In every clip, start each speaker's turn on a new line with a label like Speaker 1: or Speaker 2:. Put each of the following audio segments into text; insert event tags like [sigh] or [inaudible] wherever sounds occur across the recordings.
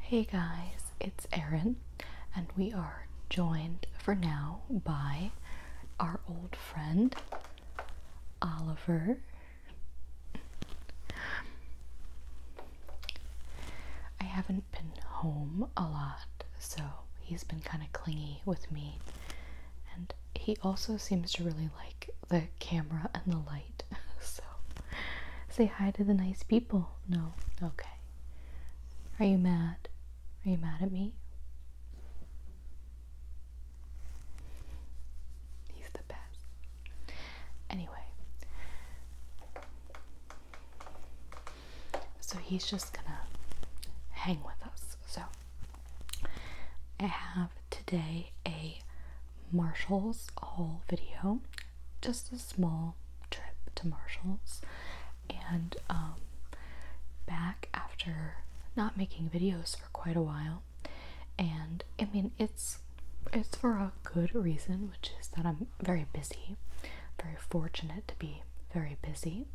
Speaker 1: Hey guys, it's Erin, and we are joined for now by our old friend Oliver. I haven't been home a lot, so he's been kind of clingy with me, and he also seems to really like the camera and the light [laughs] so say hi to the nice people. No, okay. Are you mad? Are you mad at me? He's the best. Anyway, so he's just gonna hang with us. So I have today a Marshall's haul video, just a small trip to Marshall's, and um, back after not making videos for quite a while, and I mean it's it's for a good reason, which is that I'm very busy, very fortunate to be very busy,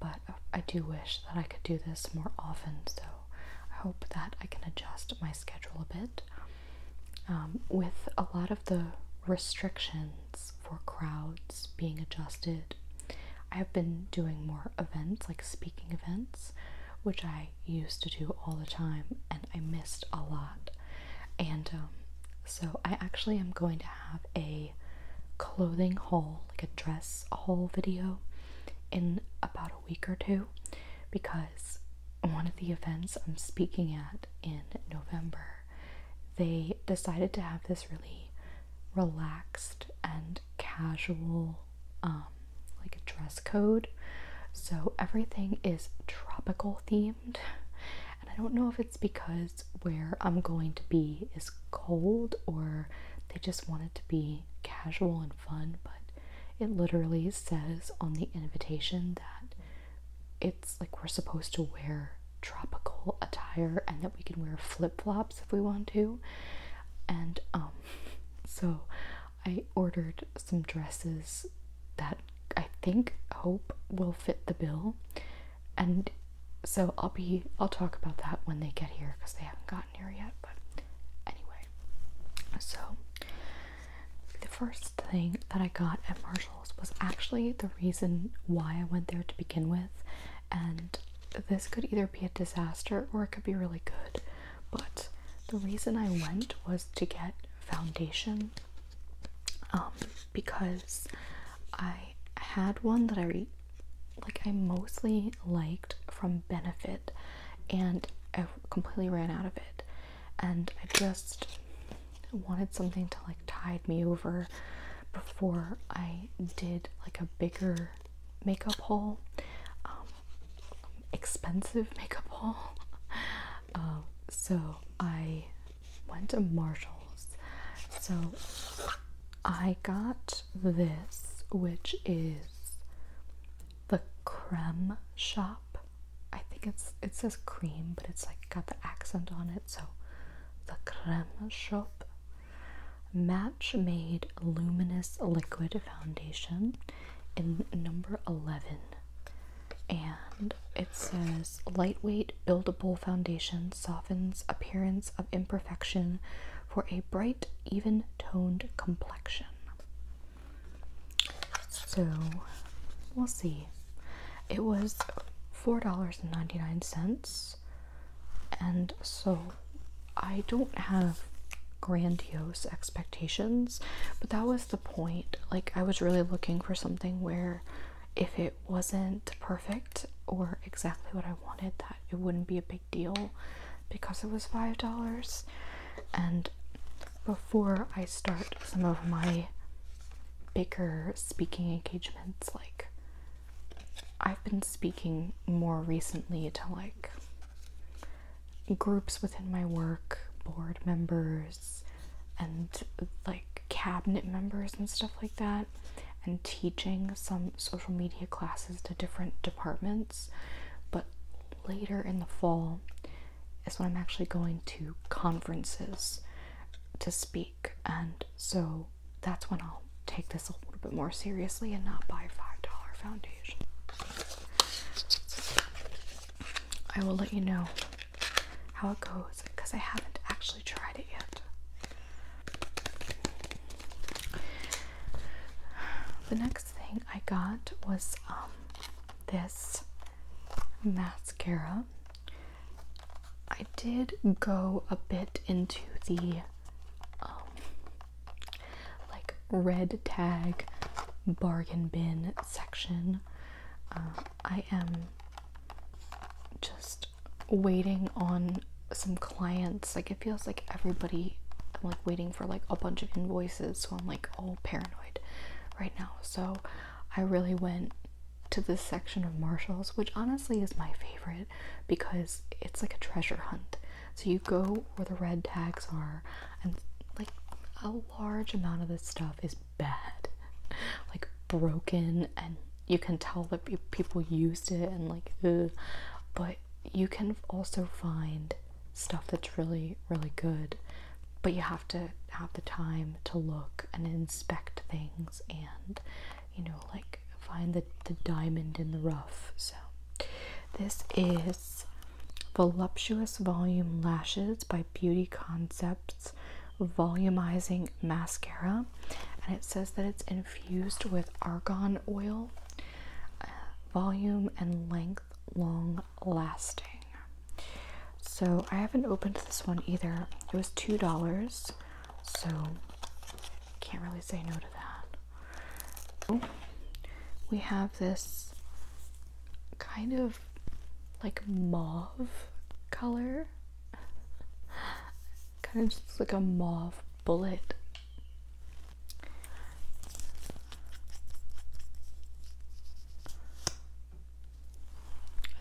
Speaker 1: but I do wish that I could do this more often. So I hope that I can adjust my schedule a bit. Um, with a lot of the restrictions for crowds being adjusted. I have been doing more events, like speaking events, which I used to do all the time, and I missed a lot. And um, so, I actually am going to have a clothing haul, like a dress haul video, in about a week or two because one of the events I'm speaking at in November, they decided to have this really relaxed and casual um like a dress code. So everything is tropical themed. And I don't know if it's because where I'm going to be is cold or they just want it to be casual and fun, but it literally says on the invitation that it's like we're supposed to wear tropical attire and that we can wear flip-flops if we want to. And um [laughs] so I ordered some dresses that I think hope will fit the bill. And so I'll be I'll talk about that when they get here because they haven't got here yet, but anyway. So, the first thing that I got at Marshall's was actually the reason why I went there to begin with, and this could either be a disaster or it could be really good. But the reason I went was to get foundation um, because I had one that I like I mostly liked from Benefit and I completely ran out of it. And I just wanted something to like tide me over before I did like a bigger makeup haul, um, expensive [laughs] makeup haul. Um, so I went to Marshall's. So I got this, which is the creme shop. I think it's it says cream, but it's like got the accent on it, so the creme shop match made luminous liquid foundation in number 11 and it says lightweight buildable foundation softens appearance of imperfection for a bright, even toned complexion. So we'll see. It was $4.99, and so I don't have grandiose expectations, but that was the point. Like, I was really looking for something where if it wasn't perfect or exactly what I wanted, that it wouldn't be a big deal because it was five dollars. And before I start some of my bigger speaking engagements, like I've been speaking more recently to like groups within my work, board members, and like cabinet members and stuff like that, and teaching some social media classes to different departments but later in the fall is when I'm actually going to conferences to speak, and so that's when I'll take this a little bit more seriously and not buy $5 foundation. I will let you know how it goes because I haven't actually tried it yet. The next thing I got was um, this mascara. I did go a bit into the um, like red tag bargain bin section. Uh, I am just waiting on some clients. Like it feels like everybody I'm like waiting for like a bunch of invoices, so I'm like all paranoid right now. So I really went to this section of Marshalls, which honestly is my favorite because it's like a treasure hunt. So you go where the red tags are, and like a large amount of this stuff is bad, [laughs] like broken and you can tell that people used it and like but you can also find stuff that's really really good but you have to have the time to look and inspect things and you know like find the, the diamond in the rough so this is voluptuous volume lashes by beauty concepts volumizing mascara and it says that it's infused Used with argon oil, uh, volume and length long lasting. So I haven't opened this one either. It was $2, so can't really say no to that. we have this kind of like mauve color kind of just like a mauve bullet.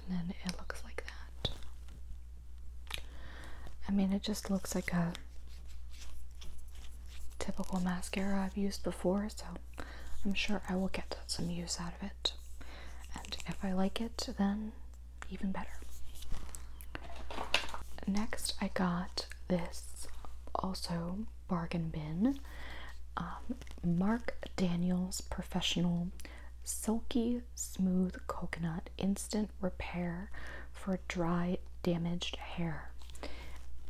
Speaker 1: And then it looks like that. I mean, it just looks like a typical mascara I've used before, so I'm sure I will get some use out of it. And if I like it, then even better. Next, I got this also bargain bin um, Mark Daniels Professional Silky Smooth Coconut Instant Repair for Dry Damaged Hair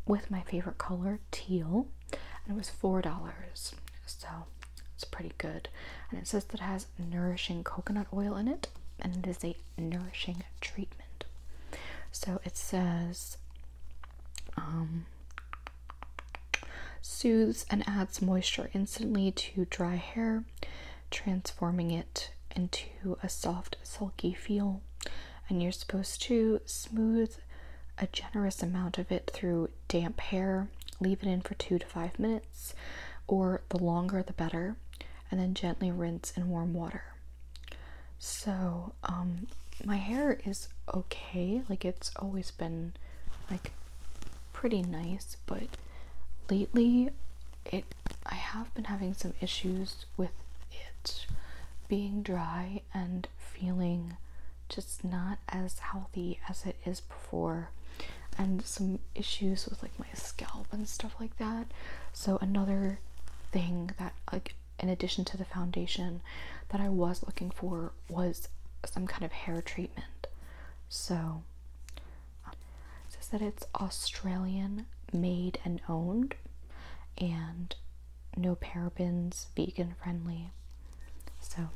Speaker 1: with my favorite color, teal, and it was $4. So it's pretty good. And it says that it has nourishing coconut oil in it, and it is a nourishing treatment. So it says um, soothes and adds moisture instantly to dry hair, transforming it into a soft, silky feel. And you're supposed to smooth a generous amount of it through damp hair, leave it in for two to five minutes or the longer the better, and then gently rinse in warm water. So, um, my hair is okay, like it's always been like pretty nice, but lately it I have been having some issues with it being dry and feeling just not as healthy as it is before and some issues with like my scalp and stuff like that. So another thing that like in addition to the foundation that I was looking for was some kind of hair treatment. So um, says that it's Australian made and owned and no parabens, vegan friendly. So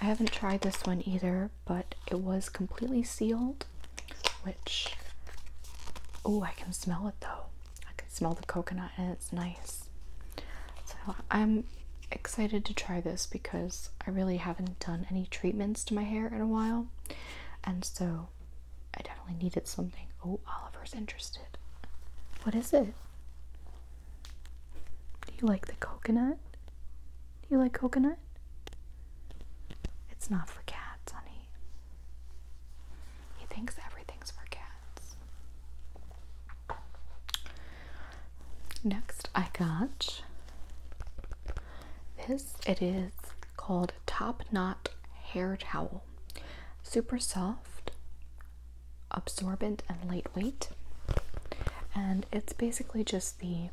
Speaker 1: I haven't tried this one either, but it was completely sealed, which oh, I can smell it though. I can smell the coconut and it's nice. So I'm excited to try this because I really haven't done any treatments to my hair in a while. And so I definitely needed something. Oh, Oliver's interested. What is it? Do you like the coconut? Do you like coconut? It's not for cats, honey. He thinks everything's for cats. Next, I got this. It is called Top Knot Hair Towel. Super soft, absorbent, and lightweight and it's basically just the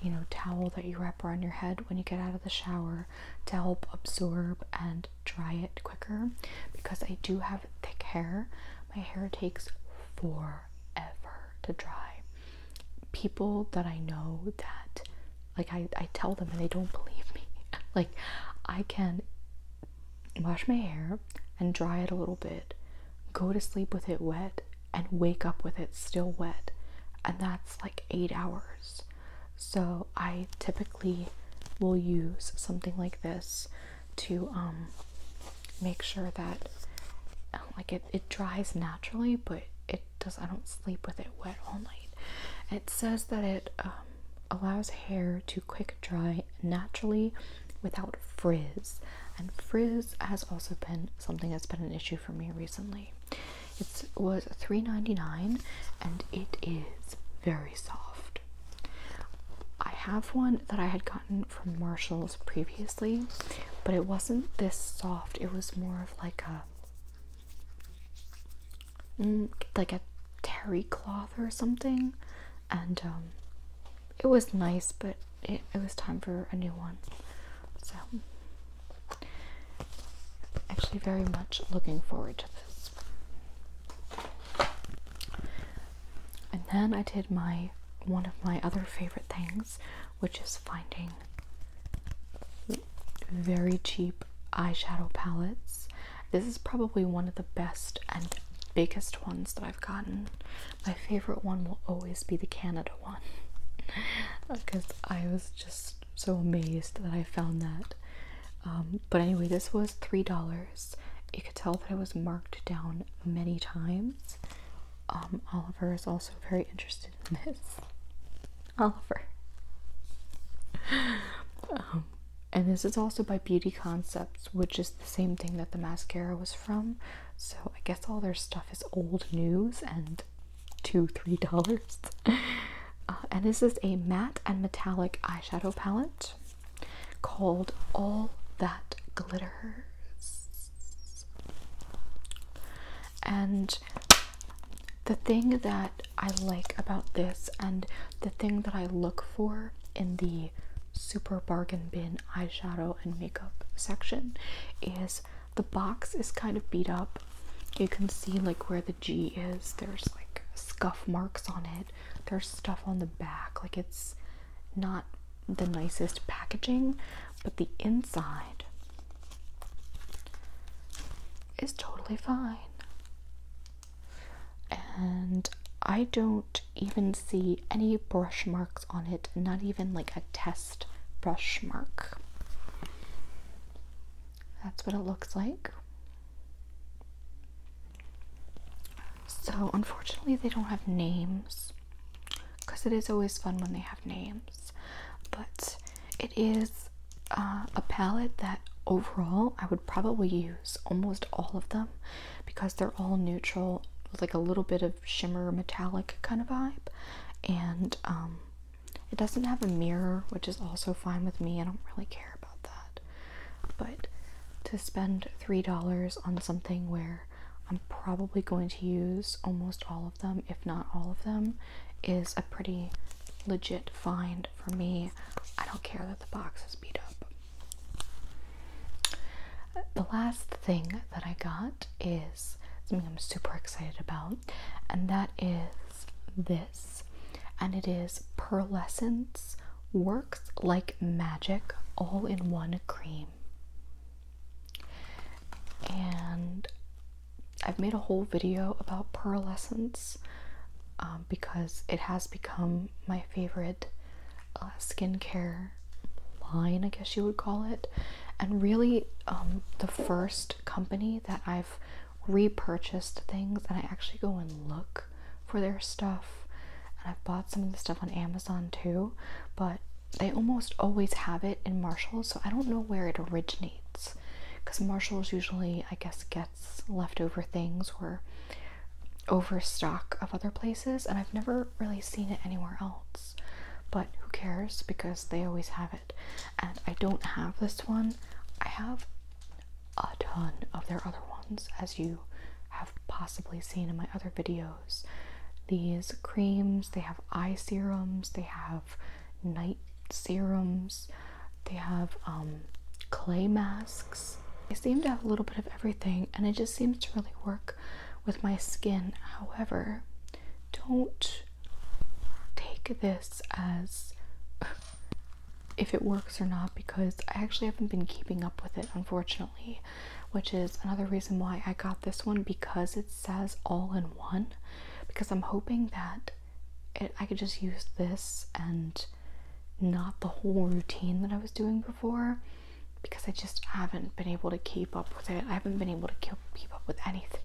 Speaker 1: you know towel that you wrap around your head when you get out of the shower to help absorb and dry it quicker because I do have thick hair. My hair takes forever to dry. People that I know that like I, I tell them and they don't believe me. [laughs] like I can wash my hair and dry it a little bit, go to sleep with it wet, and wake up with it still wet. And that's like eight hours. So I typically will use something like this to um, make sure that uh, like it, it dries naturally, but it does I don't sleep with it wet all night. It says that it um, allows hair to quick dry naturally without frizz. And frizz has also been something that's been an issue for me recently. It was three ninety nine, and it is very soft. I have one that I had gotten from Marshalls previously, but it wasn't this soft. It was more of like a mm, like a terry cloth or something, and um, it was nice, but it, was time for a new one. So, actually, very much looking forward to this. And then I did my one of my other favorite things, which is finding very cheap eyeshadow palettes. This is probably one of the best and biggest ones that I. I've gotten. My favorite one will always be the Canada one because [laughs] I was just so amazed that I found that. Um, but anyway, this was three dollars. You could tell that it was marked down many times. Um, Oliver is also very interested in this. [laughs] Oliver. [laughs] Um, and this is also by Beauty Concepts, which is the same thing that the mascara was from. So I guess all their stuff is old news and two, three dollars. [laughs] Uh, and this is a matte and metallic eyeshadow palette called All That Glitters. And the thing that I like about this, and the thing that I look for in the super bargain bin eyeshadow and makeup section is the box is kind of beat up. You can see like where the G is. There's like scuff marks on it. There's stuff on the back. Like it's not the nicest packaging, but the inside is totally fine and I don't even see any brush marks on it, not even like a test brush mark. That's what it looks like. So, unfortunately, they don't have names because it is always fun when they have names, but it is uh, a palette that overall I would probably use almost all of them because they're all neutral with like a little bit of shimmer metallic kind of vibe and um, it doesn't have a mirror which is also fine with me i don't really care about that but to spend three dollars on something where i'm probably going to use almost all of them if not all of them is a pretty legit find for me i don't care that the box is beat up the last thing that I got is something I'm super excited about, and that is this, and it is Pearlescence Works Like Magic All in One Cream. And I've made a whole video about pearlescence um, because it has become my favorite uh, skincare line, I guess you would call it, and really um, the first company that I've repurchased things and I actually go and look for their stuff. And I've bought some of the stuff on Amazon too, but they almost always have it in Marshalls, so I don't know where it originates because Marshalls usually, I guess, get leftover things were overstock of other places, and I've never really seen it anywhere else. But who cares because they always have it. And I don't have this one, I have a ton of their other ones, as you have possibly seen in my other videos. These creams, they have eye serums, they have night serums, they have um, clay masks. They seem to have a little bit of everything, and it just seems to really work with my skin. However, don't take this as [laughs] if it works or not because I actually haven't been keeping up with it, unfortunately, which is another reason why I got this one because it says all in one. Because I'm hoping that I could just use this and not the whole routine that I was doing before because I just haven't been able to keep up with it. I haven't been able to keep up with anything.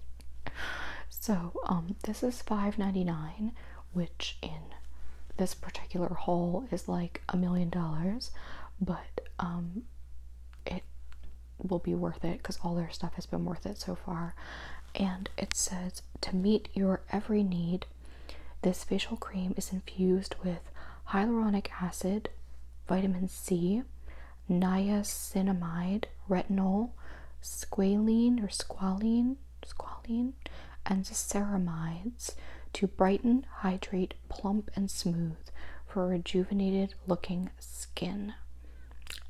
Speaker 1: So, um, this is $5.99, which in this particular haul is like a million dollars, but um, it will be worth it because all their stuff has been worth it so far. And it says to meet your every need, this facial cream is infused with hyaluronic acid, vitamin C, niacinamide, retinol, squalene or squalene, squalene, and ceramides to brighten, hydrate, plump, and smooth for rejuvenated looking skin.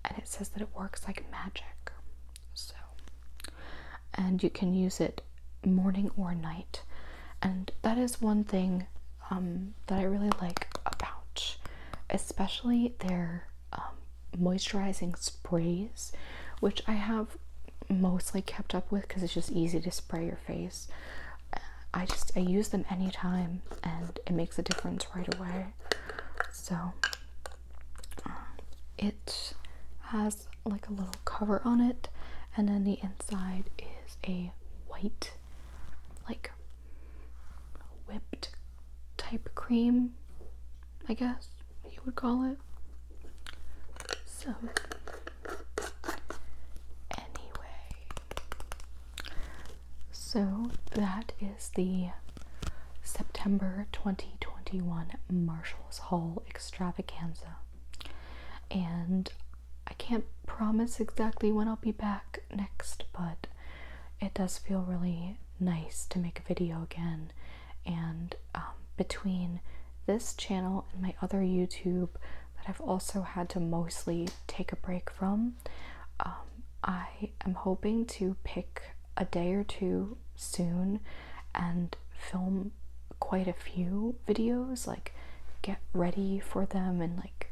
Speaker 1: And it says that it works like magic. So, and you can use it morning or night, and that is one thing um, that I really like about, especially their um, moisturizing sprays, which I have mostly kept up with because it's just easy to spray your face. I just I use them anytime and it makes a difference right away. So um, it has like a little cover on it and then the inside is a white like whipped type cream I guess you would call it so anyway so that is the September 2021 Marshall's Hall extravaganza. And I can't promise exactly when I'll be back next, but it does feel really nice to make a video again. And um, between this channel and my other YouTube that I've also had to mostly take a break from, um, I am hoping to pick a day or two soon and film quite a few videos, like get ready for them and like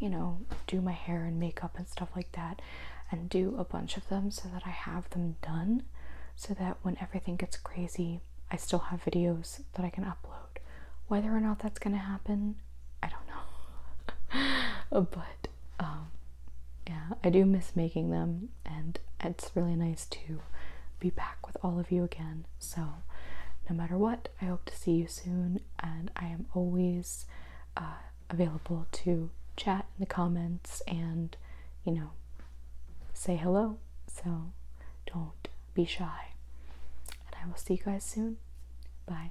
Speaker 1: you know, do my hair and makeup and stuff like that, and do a bunch of them so that I have them done so that when everything gets crazy, I still have videos that I can upload. Whether or not that's gonna happen, I don't know. [laughs] but um, yeah, I do miss making them, and it's really nice to be back with all of you again. So, no matter what, I hope to see you soon, and I am always uh, available to chat in the comments and you know say hello. So, don't be shy, and I will see you guys soon. Bye.